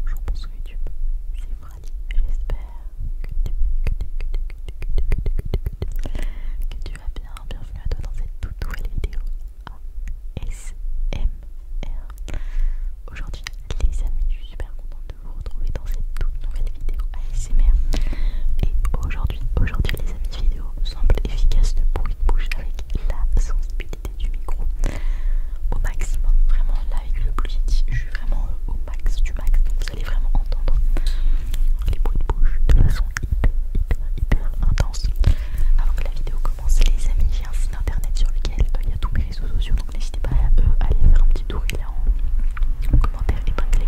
Bonjour, bonsoir YouTube, c'est Frali. J'espère que tu vas bien. Bienvenue à toi dans cette toute nouvelle vidéo ASMR. Aujourd'hui, les amis, je suis super contente de vous retrouver dans cette toute nouvelle vidéo ASMR. Et aujourd'hui, aujourd'hui les amis, vidéo semble efficace de bruit de bouche avec la sensibilité du micro au maximum. Vraiment, là avec le plus je suis vraiment euh, au max du max. Donc vous allez vraiment entendre les bruits de bouche de façon hyper, hyper, hyper intense. Avant que la vidéo commence, les amis, j'ai un site internet sur lequel euh, il y a tous mes réseaux sociaux. Donc n'hésitez pas à aller faire un petit tour. Il est en, commentaire épinglé.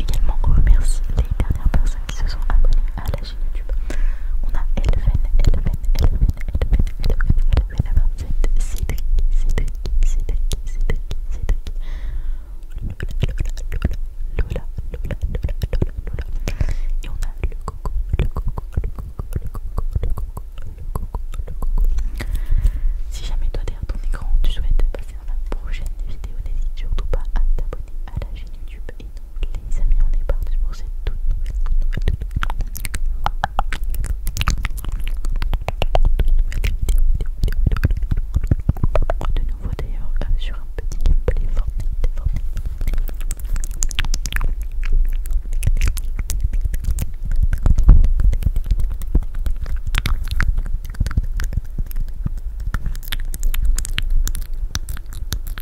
Également, remercie les dernières personnes qui se sont abonnées à la on a Elven, Elven, Elven, Elven, Elven, Elven, Elven, Elven, Elven, Elven, Elven, Et on a le coco, le coco, le coco, le coco, le coco, Si jamais toi ton écran tu souhaites passer la prochaine vidéo, n'hésite surtout pas à t'abonner à la et donc, les amis, on est parti pour cette toute nouvelle, vidéo. De nouveau, d'ailleurs, sur un petit gameplay Fortnite.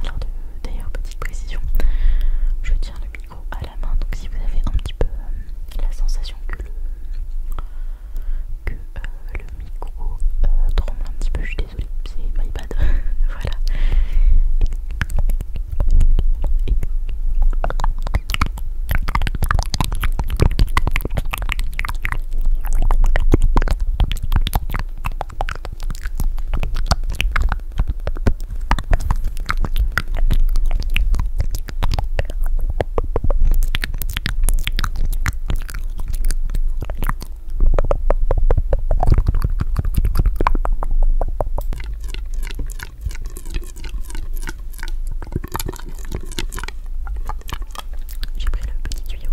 Alors d'ailleurs petite précision, je tiens le micro à la main donc si vous avez un petit peu euh, la sensation que le, euh, micro euh, tremble un petit peu, je suis désolée, c'est my bad, voilà. J'ai pris le petit tuyau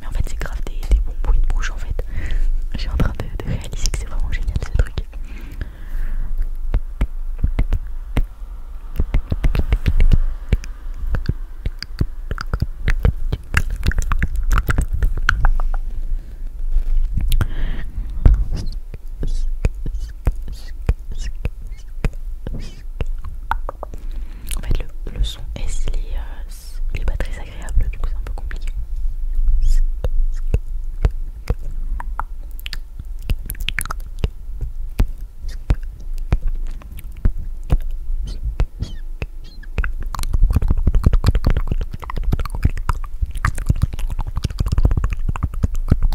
Mais en fait, c'est grave des, bons bruits de bouche en fait. J'ai en train de, de réaliser que c'est vraiment génial ce truc. En fait, le, son est, euh, il est pas très agréable, du coup, c'est un peu compliqué.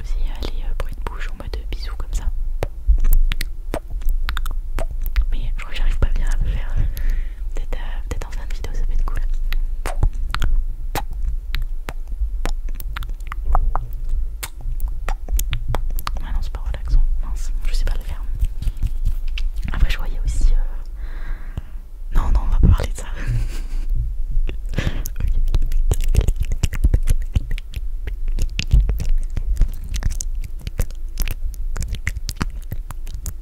Aussi aller euh, pour une bouche en mode bisous comme ça. Mais je crois que j'arrive pas bien à le faire. Euh, peut-être en fin de vidéo ça peut être cool ah non c'est pas relaxant mince je sais pas le faire après je voyais aussi euh, non non on va pas parler de ça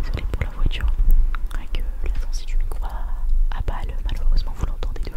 Désolée pour la voiture, avec la sensée du micro à, balle, malheureusement vous l'entendez de vous.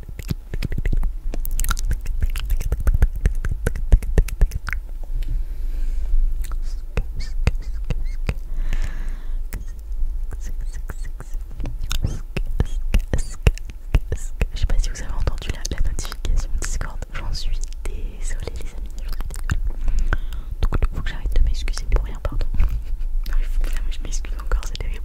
Je sais pas si vous avez entendu la, notification Discord, j'en suis désolée les amis. Donc il faut que j'arrête de m'excuser pour pardon. je m'excuse encore, c'est terrible.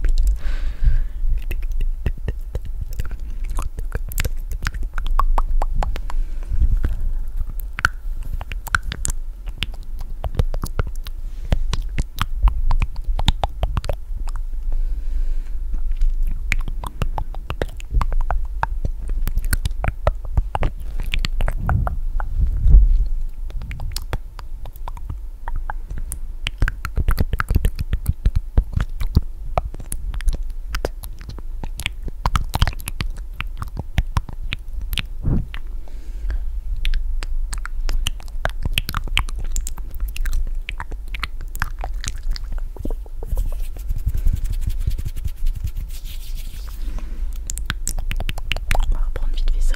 On va reprendre vite fait ça.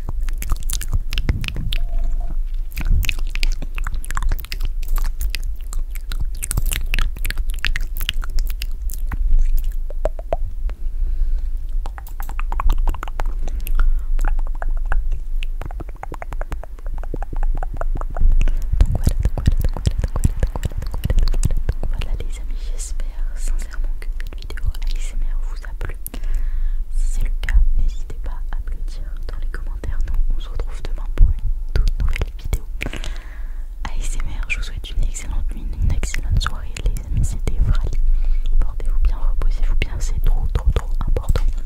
voilà les amis, j'espère sincèrement que cette vidéo ASMR vous a plu. Si c'est le cas, n'hésitez pas à me le dire dans les commentaires. Nous, on se retrouve demain pour une toute nouvelle vidéo. ASMR, je vous souhaite une excellente nuit, une excellente soirée, les amis. C'était vrai. Portez-vous bien, reposez-vous bien, c'est trop, trop, trop important. nuit,